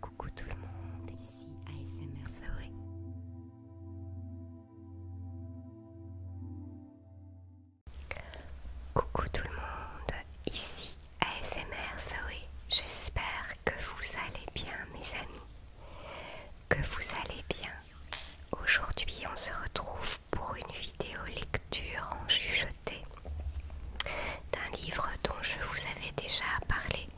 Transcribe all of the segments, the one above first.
Coucou tout le monde, ici ASMR Zoé. Coucou tout le monde, ici ASMR Zoé. J'espère que vous allez bien mes amis, que vous allez bien. Aujourd'hui on se retrouve pour une vidéo lecture en chuchoté d'un livre dont je vous avais déjà parlé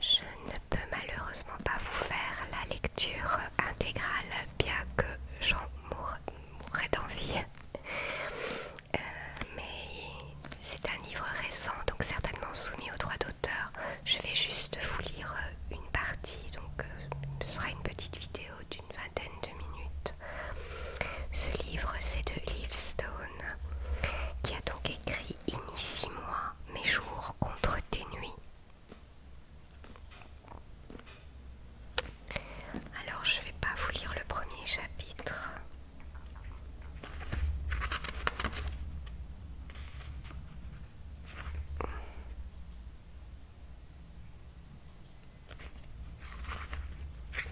je ne peux malheureusement pas vous faire la lecture intégrale, bien que j'en mourrais d'envie. Euh, mais c'est un livre récent, donc certainement soumis au droit d'auteur. Je vais juste vous lire euh, une partie, donc euh, ce sera une petite vidéo d'une vingtaine de minutes. Ce livre, c'est de Livestone qui a donc écrit Initie-moi mes jours contre tes nuits. Alors je ne vais pas vous lire le premier chapitre. Je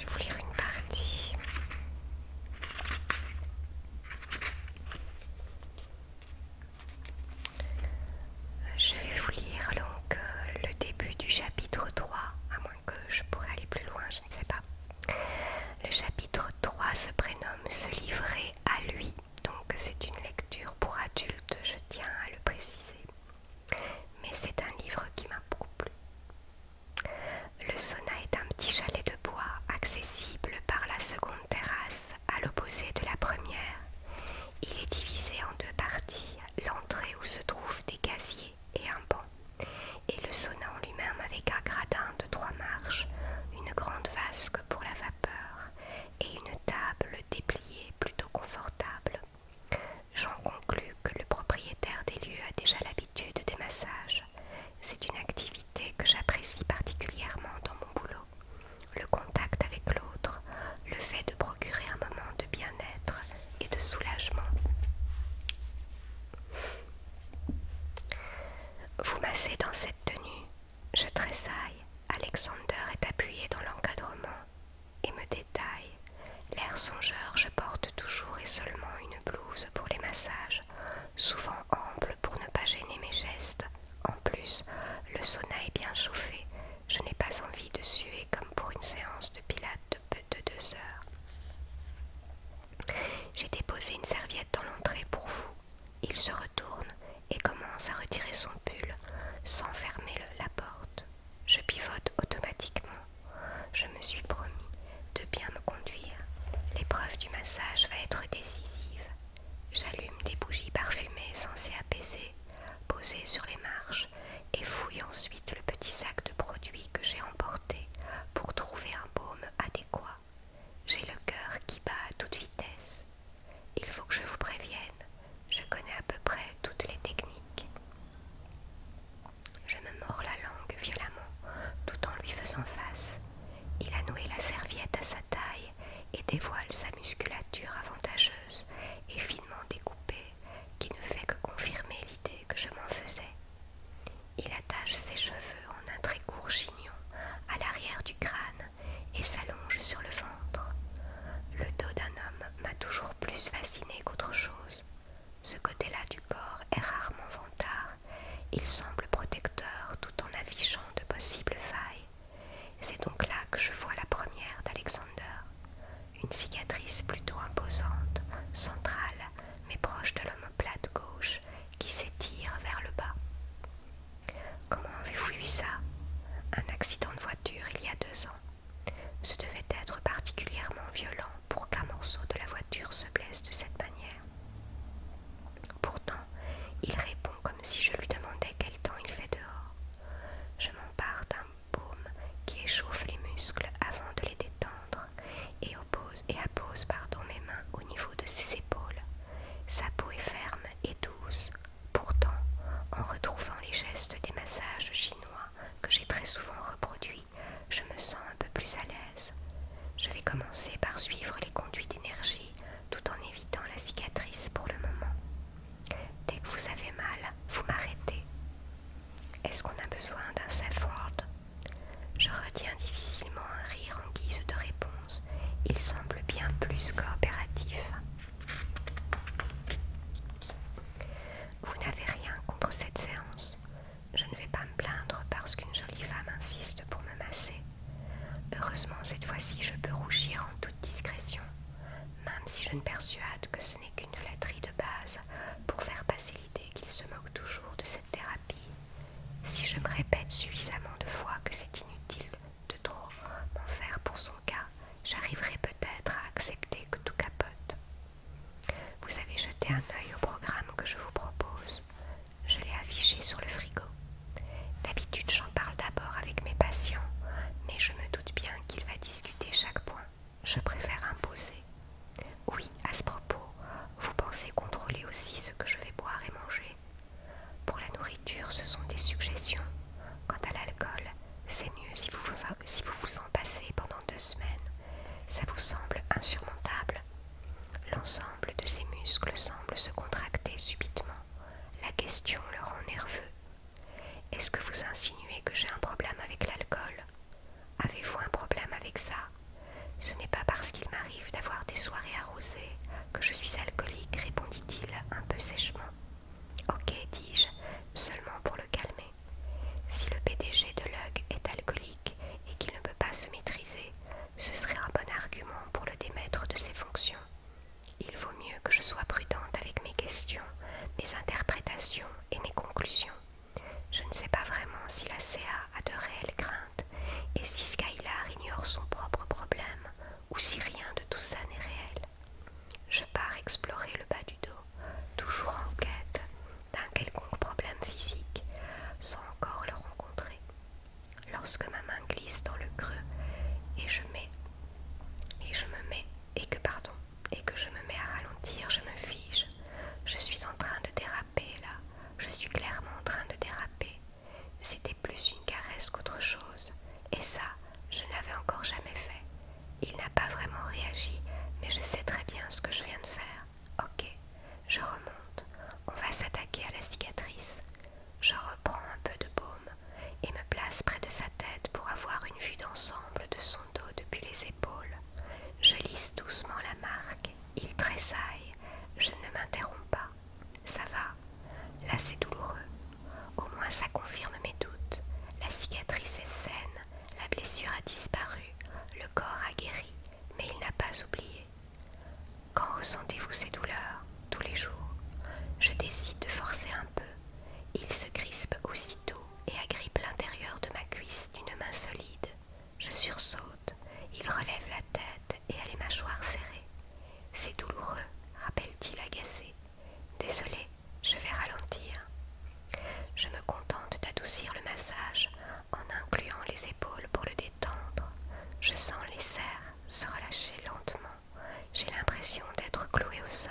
vais vous lire une partie. Je vais vous lire donc euh, le début du chapitre 3, à moins que je pourrais aller plus loin, je ne sais pas. Le chapitre 3 se prénomme Se livrer à lui, donc c'est une lecture pour adultes, je tiens à le préciser. Mais c'est un livre qui m'a beaucoup plu. Le sauna est un petit chalet de bois accessible par la seconde terrasse à l'opposé de la première. Il est divisé en deux parties, l'entrée où se trouvent des casiers et un banc, et le sauna en lui-même avec un gradin de trois marches, une grande vasque pour la vapeur et une table dépliée plutôt confortable. J'en conclus que le propriétaire des lieux a déjà l'habitude des massages. C'est une activité que j'apprécie particulièrement dans mon boulot. Le contact avec l'autre, le fait de procurer un moment de bien-être et de soulagement. Vous massez dans cette tenue Je tressaille. Alexander est appuyé dans l'encadrement et me détaille. L'air songeur, je porte toujours et seulement une blouse pour les massages, souvent ample pour ne pas gêner mes gestes. En plus, le sauna est bien chauffé, je n'ai pas envie de suer comme pour une séance de pilates de peu de deux heures. J'ai déposé une serviette dans l'entrée pour vous. Il se retourne et commence à retirer son pull sans fermer la porte. Je pivote automatiquement. Je me suis promis de bien me conduire. L'épreuve du massage va être décisive. J'allume des bougies parfumées censées apaiser, posées sur les marches, et fouille ensuite le petit sac de produits que j'ai emporté pour trouver un baume adéquat. J'ai le cœur qui bat à toute vitesse. Il faut que je vous prévienne, je connais à peu près toutes les techniques. Je me mords la langue violemment, tout en lui faisant face. Il a noué la serviette à sa taille et dévoile sa musculature avantageuse et finement découpée qui ne fait que confirmer l'idée que je m'en faisais. Il attache ses cheveux en un très court chignon à l'arrière du crâne et s'allonge sur le ventre. Le dos d'un homme m'a toujours plus fasciné qu'autre chose. Ce côté-là du corps est rarement vantard, il semble protecteur tout en affichant de possibles failles. C'est donc là que je vois la première d'Alexander. Une cicatrice plutôt imposante, centrale, mais proche de l'omoplate gauche, qui s'étire vers le bas. Comment avez-vous eu ça Un accident de voiture il y a deux ans. Ce devait être particulièrement violent pour qu'un morceau de la voiture se blesse de cette manière. Pourtant, il répond comme si je lui demandais quel temps il fait dehors. Je m'empare d'un baume qui échauffe les muscles avant de les détendre et, oppose, et appose mes mains au niveau de ses épaules. Sa peau est ferme et douce. Pourtant, en retrouvant les gestes des massages chinois que j'ai très souvent reproduit, je me sens un peu plus à l'aise. Je vais commencer par suivre les conduits d'énergie tout en évitant la cicatrice pour le moment. Dès que vous avez mal, vous m'arrêtez. Est-ce qu'on a besoin d'un safe word Je retiens difficilement un rire en guise de réponse. Il semble bien plus coopératif. Vous n'avez rien contre cette séance. Je ne vais pas me plaindre parce qu'une jolie femme insiste pour me masser. Heureusement, cette fois-ci, je peux rougir en toute discrétion, même si je ne persuade que ce n'est qu'une flatterie de base pour faire passer l'idée qu'il se moque toujours de cette thérapie. Si je me répète suffisamment de fois que c'est inutile de trop m'en faire pour son cas, j'arriverai peut-être à accepter que tout capote. Vous avez jeté un œil au programme que je vous propose. Je l'ai affiché sur le frigo. D'habitude, j'en parle d'abord avec mes patients, mais je me doute bien qu'il va discuter chaque point. Je préfère imposer. Oui, à ce propos, vous pensez contrôler aussi ce que je vais boire et manger. Pour la nourriture, ce sont des suggestions. Quant à l'alcool, c'est mieux si vous, vous, en passez pendant deux semaines. Ça vous semble insurmontable. L'ensemble de ses muscles semble se contracter subitement. La question le rend nerveux. Est-ce que vous insinuez que j'ai un problème avec l'alcool Avez-vous un problème avec ça Ce n'est pas parce qu'il m'arrive d'avoir des soirées arrosées que je suis alcoolique, répondit-il un peu sèchement. Ok, dis-je, seulement pour le calmer. Si le PDG de Lug est alcoolique et qu'il ne peut pas se maîtriser, ce serait un bon argument pour le démettre de ses fonctions. Il vaut mieux que je sois prudente avec mes questions, mes interprétations et mes conclusions. Je ne sais pas vraiment si la CA a de réelles craintes et si Skylar ignore son propre problème ou si rien de tout ça n'est réel. Je pars explorer le bas du dos, toujours en quête d'un quelconque problème physique, sans encore le rencontrer. Lorsque ma main glisse dans le creux et je mets, et que pardon, et que je me mets à ralentir, je me fige. Je suis en train de déraper là, je suis clairement en train de déraper. C'était plus une caresse qu'autre chose, et ça, je n'avais encore jamais fait. Il n'a pas vraiment réagi, mais je sais très bien ce que je viens de faire. Ok, je remonte. On va s'attaquer à la cicatrice. Je reprends un peu de baume et me place près de sa tête pour avoir une vue d'ensemble de son dos depuis les épaules. Je lisse doucement la marque. Il tressaille. Je ne m'interromps pas. Ça va. Là, c'est douloureux. Au moins ça confirme mes doutes. La cicatrice est saine, la blessure a disparu, le corps a guéri, mais il n'a pas oublié. Quand ressentez-vous ces douleurs Tous les jours. Je décide de forcer un peu. Il se crispe aussitôt et agrippe l'intérieur de ma cuisse d'une main solide. Je sursaute, il relève la tête et a les mâchoires serrées. C'est douloureux, rappelle-t-il agacé. Désolé, je vais ralentir. Je me contente d'adoucir le massage en incluant les épaules pour le détendre. Je sens les serres se relâcher lentement. J'ai l'impression d'être cloué au sol.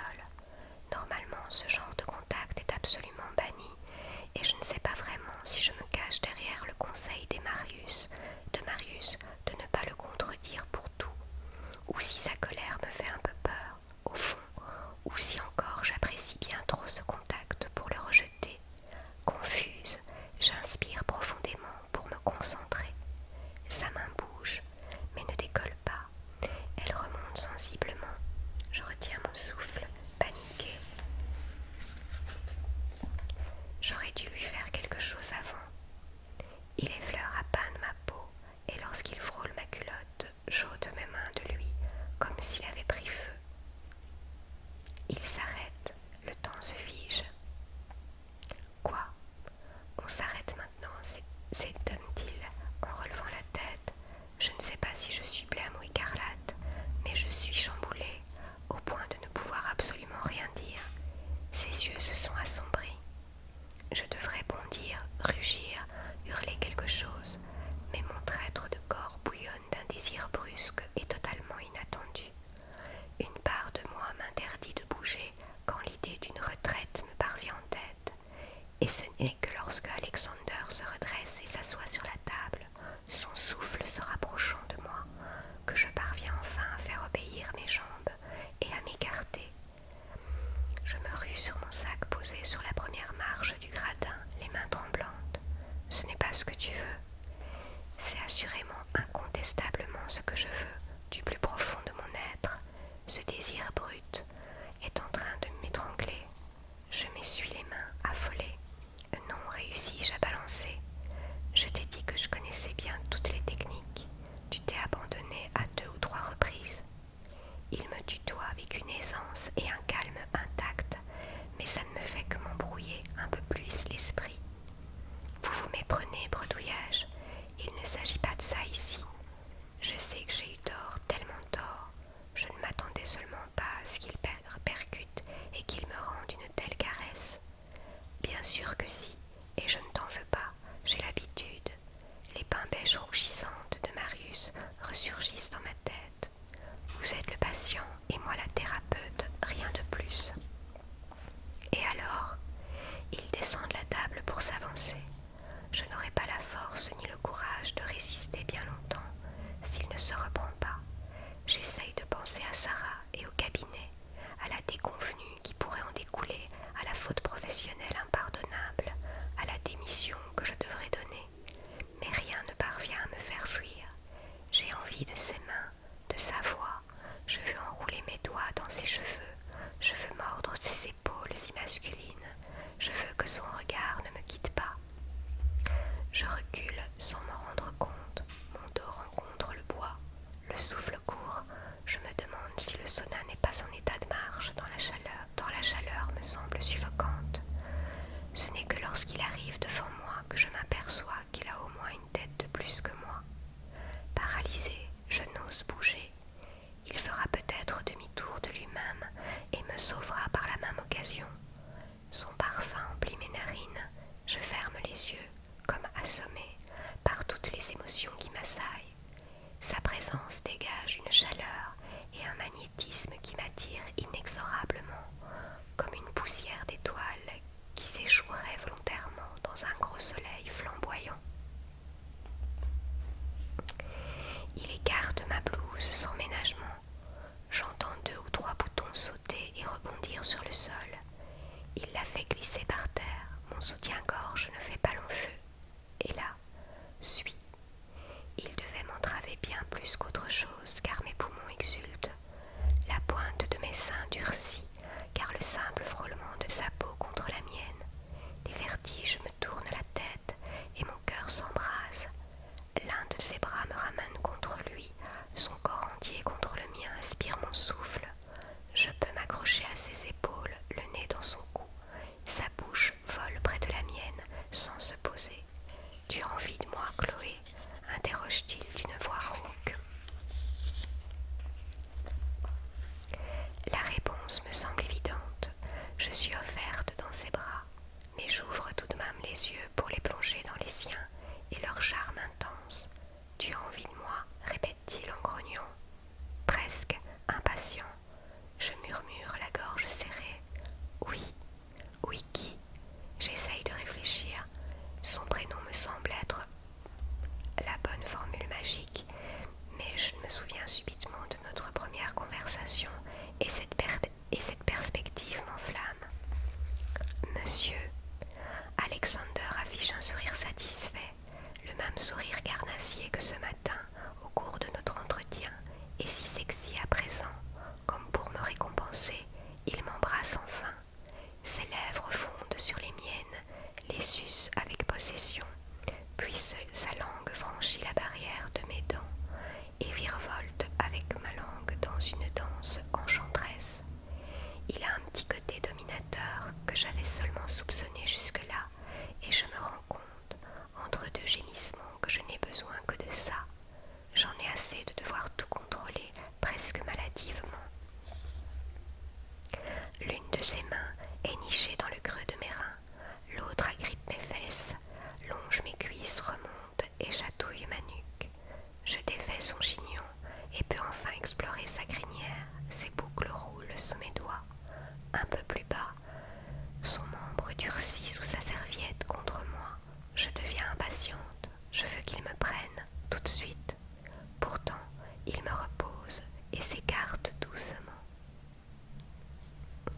Normalement, ce genre de contact est absolument banni et je ne sais pas vraiment si je me cache derrière le conseil des Marius, de Marius de ne pas le contredire pour tout, ou si sa colère me fait un peu peur au fond, ou si encore j'apprécie bien trop ce contact pour le rejeter. Confuse, j'inspire profondément pour me concentrer. Sa main bouge, mais ne décolle pas. Elle remonte sensiblement. Je retiens mon souffle, paniquée. J'aurais dû lui faire quelque chose avant. Il effleure à peine ma peau, et lorsqu'il frôle ma culotte, j'ôte mes mains de lui comme s'il avait pris feu. Il s'arrête, le temps se fige. Quoi On s'arrête maintenant, s'étonne-t-il en relevant la tête. Je ne sais pas si je suis blême ou écarlate, mais je suis chamboulée au point de ne pouvoir absolument rien dire. Ses yeux se sont assombris, je devrais bondir, rugir, hurler quelque chose, mais mon traître de corps bouillonne d'un désir brusque et totalement inattendu. Une part de moi m'interdit de bouger quand l'idée d'une retraite me parvient en tête, et ce n'est que lorsque Alexander se redresse et s'assoit sur la table, son souffle se rapprochant de moi, que je parviens enfin à faire obéir mes jambes et à m'écarter je me rue sur mon sac posé sur la première marche du gradin, les mains tremblantes. Ce n'est pas ce que tu veux. C'est assurément incontestablement ce que je veux, du plus profond de mon être. Ce désir brut est en train de m'étrangler. Je m'essuie les mains, affolée. Non, réussis-je à balancer Je t'ai dit que je connaissais bien toutes les techniques. Tu t'es abandonné à deux ou trois reprises. Il me tutoie avec une aisance et un calme intact, mais ça ne me fait que m'embrouiller un peu plus l'esprit. Vous vous méprenez, bredouillage, il ne s'agit pas de ça ici. Je sais que j'ai eu tort, tellement tort, je ne m'attendais seulement pas à ce qu'il percute et qu'il me rende une telle caresse. Bien sûr que si, et je ne t'en veux pas, j'ai l'habitude. Les beiges rougissantes de Marius ressurgissent dans ma tête. Vous êtes le patient et moi la thérapeute, rien de plus. Et alors Ils descendent la table pour s'avancer. Je n'aurai pas la force ni le courage de résister bien longtemps s'il ne se reprend pas. J'essaye de penser à Sarah et au cabinet, à la déconvenue qui pourrait en découler à la faute professionnelle impardonnable, à la démission que je devrais donner. Mais rien ne parvient à me faire fuir. J'ai envie de ses mains, de sa voix. Je veux enrouler mes doigts dans ses cheveux. Je veux mordre ses épaules immasculines. Je veux que son regard ne me quitte pas. Je recule sans me rendre compte. Mon dos rencontre le bois. Le souffle je me demande si le sauna n'est pas en état de marche dans la chaleur, dans la chaleur me semble suffocante. Ce n'est que lorsqu'il arrive devant moi que je m'aperçois qu'il a au moins une tête de plus que moi. Paralysé, je n'ose bouger. Il fera peut-être demi-tour de lui-même et me sauvera par la même occasion. Son parfum emplit mes narines, je ferme les yeux, comme assommé par toutes les émotions qui m'assaillent. Sa présence dégage une chaleur et un magnétisme qui m'attire inexorablement, comme une poussière d'étoiles qui s'échouerait volontairement dans un gros soleil flamboyant. Il écarte ma blouse sans ménagement. J'entends deux ou trois boutons sauter et rebondir sur le sol. Il la fait glisser par terre. Mon soutien-gorge ne fait pas long feu et là, suis. Il devait m'entraver bien plus qu'autre chose, car mes poumons exultent. La pointe de mes seins durcit, car le simple frôlement de sa peau contre la mienne. les vertiges me tournent la tête et mon cœur s'embrase. L'un de ses bras me ramène contre lui, son corps entier contre le mien aspire mon souffle. Je peux m'accrocher à ses épaules, le nez dans son cou. Sa bouche vole près de la mienne sans se poser. Tu as envie de moi, Chloé interroge-t-il d'une voix rauque. La réponse me semble évidente. Je suis offerte dans ses bras, mais j'ouvre tout de même les yeux pour les plonger dans les siens et leur charme intense. Tu as envie de moi, répète-t-il en grognant. Presque impatient, je murmure la gorge serrée. Oui, oui qui J'essaye de réfléchir. Son prénom me semble être la bonne formule magique, mais je me souviens subitement de notre première conversation et cette, et cette perspective m'enflamme. Monsieur, Alexander affiche un sourire satisfait le même sourire carnassier que ce matin au cours de notre entretien, est si sexy à présent, comme pour me récompenser, il m'embrasse enfin. Ses lèvres fondent sur les miennes, les sucent avec possession, puis sa langue franchit la barrière de mes dents et virevolte avec ma langue dans une danse enchanteresse. Il a un petit côté dominateur que j'avais seulement soupçonné jusque-là, et je me rends compte, entre deux gémissements, que je n'ai besoin que de ça. J'en ai assez de devoir tout contrôler presque maladivement. L'une de ses mains est nichée dans le creux de mes reins, l'autre agrippe mes fesses, longe mes cuisses, remonte et chatouille ma nuque. Je défais son chignon et peux enfin explorer sa crinière, ses boucles roulent sous mes doigts, un peu plus bas. Son membre durcit sous sa serviette contre moi. Je deviens impatiente. Je veux qu'il me prenne tout de suite. Pourtant, il me repose et s'écarte doucement.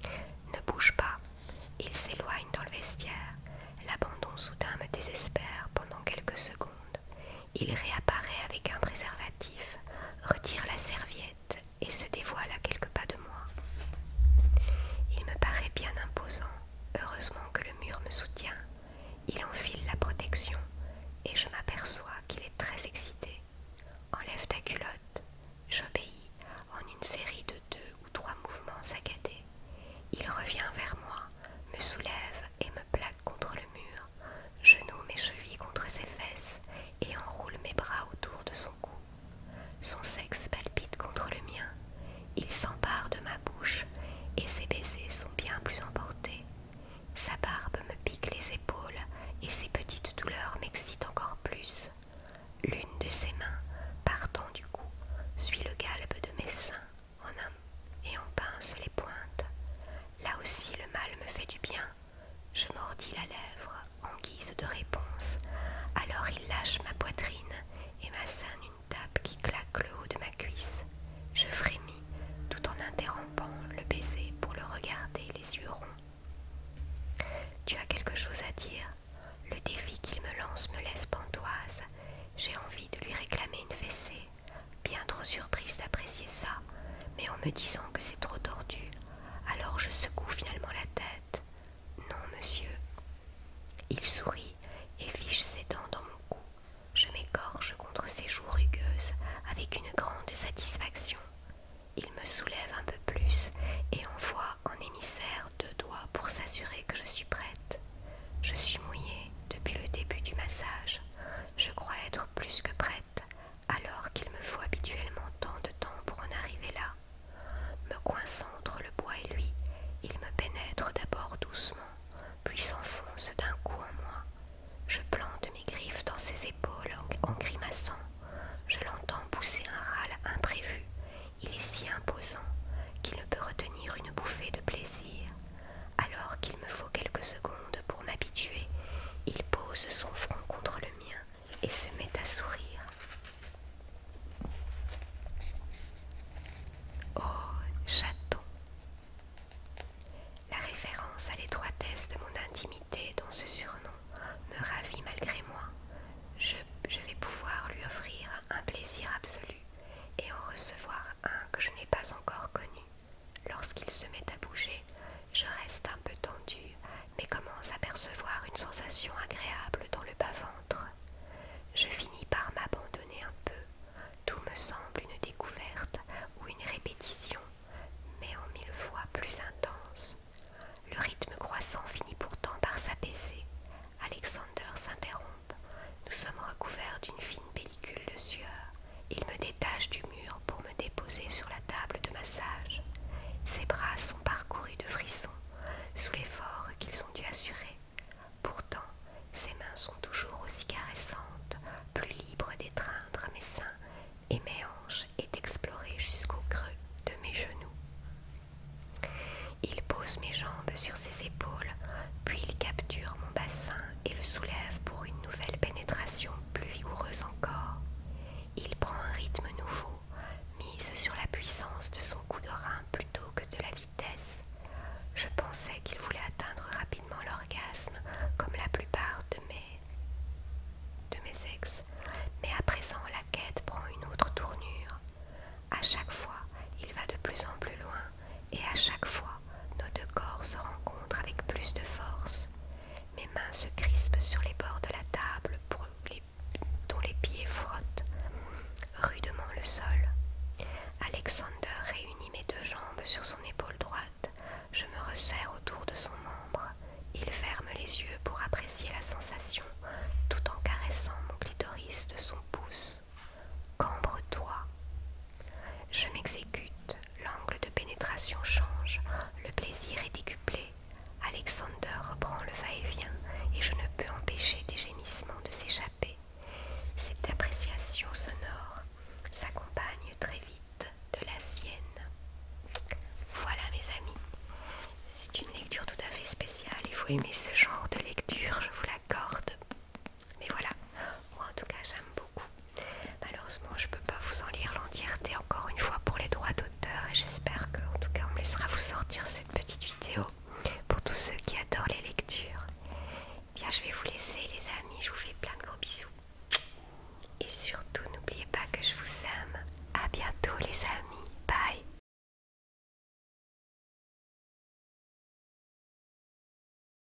Ne bouge pas. Il s'éloigne dans le vestiaire. L'abandon soudain me désespère pendant quelques secondes. Il réapparaît avec un préservatif, retire la serviette et se dévoile à quelques pas de moi. Il me paraît bien imposant, heureusement que le mur me soutient. Il enfile la protection et je m'aperçois qu'il est très excité. Enlève ta culotte. J'obéis en une série de deux ou trois mouvements saccadés. Il revient vers moi, me soulève et me plaque contre le mur, genoue mes chevilles contre ses fesses et enroule mes bras autour de son cou. Son sexe palpite contre le mien, il s'empare de ma bouche et ses baisers sont bien plus emportés. Sa barbe me pique les épaules et ses petites douleurs m'excitent encore plus. L'une de ses mains, partant du cou, suit le galbe de mes seins en un, et en pince les pointes. Là aussi le mal me fait du bien. Je mordis la lèvre en guise de réponse. Alors il lâche ma poitrine et m'assène une tape qui claque le haut de ma cuisse. Je frémis tout en interrompant le baiser pour le regarder les yeux ronds. Tu as quelque chose à dire Le défi qu'il me lance me laisse pantoise. J'ai envie de lui réclamer une fessée bien trop surprise d'apprécier ça, mais en me disant que c'est trop tordu, alors je secoue finalement la tête. Non, monsieur. Il sourit et fiche ses dents dans mon cou. Je m'égorge contre ses joues rugueuses avec une grande satisfaction. Il me soulève un peu plus et envoie en émissaire deux doigts pour s'assurer que je suis prête. Je suis mouillée depuis le début du massage. Je crois être plus que prête alors qu'il me faut habituellement tant de temps pour en arriver là. Me coinçant entre le bois et lui, il me pénètre d'abord doucement, puis s'enfonce d'un coup en moi. Je plante mes griffes dans ses épaules en grimaçant. Je l'entends pousser un râle imprévu. Il est si imposant qu'il ne peut retenir une bouffée de plaisir. Alors qu'il me faut quelques secondes pour m'habituer, il pose son front contre le mien et se met à sourire. Oh, chaton La référence à l'étroitesse de mon intimité dans ce surnom me ravit malgré moi. Je, je vais pouvoir lui offrir un plaisir absolu et en recevoir un que je n'ai pas encore connu. Lorsqu'il se met à bouger, je reste un peu tendue, mais commence à percevoir une sensation agréable dans le bas-ventre. Je finis par m'abandonner un peu. Tout me semble une découverte ou une répétition, mais en mille fois plus intense. Le rythme croissant finit pourtant par s'apaiser. Alexander s'interrompt. Nous sommes recouverts d'une fine pellicule de il me détache du mur pour me déposer sur la table de massage. Ses bras sont parcourus de frissons sous l'effort qu'ils ont dû assurer. Pourtant, ses mains sont toujours aussi caressantes, plus libres d'étreindre mes seins et mes hanches et d'explorer jusqu'au creux de mes genoux. Il pose mes jambes sur ses épaules, puis il capture mon bassin et le soulève pour une nouvelle pénétration plus vigoureuse encore. Il prend un rythme nouveau, mise sur la puissance de son coup de rein plutôt que de la vitesse. Je pensais qu'il voulait atteindre rapidement l'orgasme comme la plupart de mes de mes ex, mais à présent la quête prend une autre tournure. À chaque fois, il va de plus en plus loin et à chaque fois nos deux corps se rencontrent avec plus de force. Mes mains se crispent sur les bords de la table dont les pieds frottent rudement le sol. Alexander réunit mes deux jambes sur son épaule droite. Je me resserre autour de son membre. Il ferme les yeux pour apprécier la sensation tout en caressant mon clitoris de son pouce. Cambre-toi. Je m'exécute. L'angle de pénétration change, le plaisir est décuplé. Alexander reprend le va-et-vient et je ne peux empêcher des gémissements de s'échapper. Cette appréciation sonore s'accompagne très vite de la sienne. Voilà mes amis, c'est une lecture tout à fait spéciale, il faut aimer ce genre de lecture, je vous l'accorde. Mais voilà, moi en tout cas j'aime beaucoup. Malheureusement je peux pas vous en lire l'entièreté encore une fois pour les droits d'auteur et j'espère qu'en tout cas on me laissera vous sortir cette petite vidéo pour tous ceux qui adorent les lectures. Bien je vais vous laisser les amis, je vous fais plein de gros bisous. Et surtout n'oubliez pas que je vous aime. A bientôt les amis, bye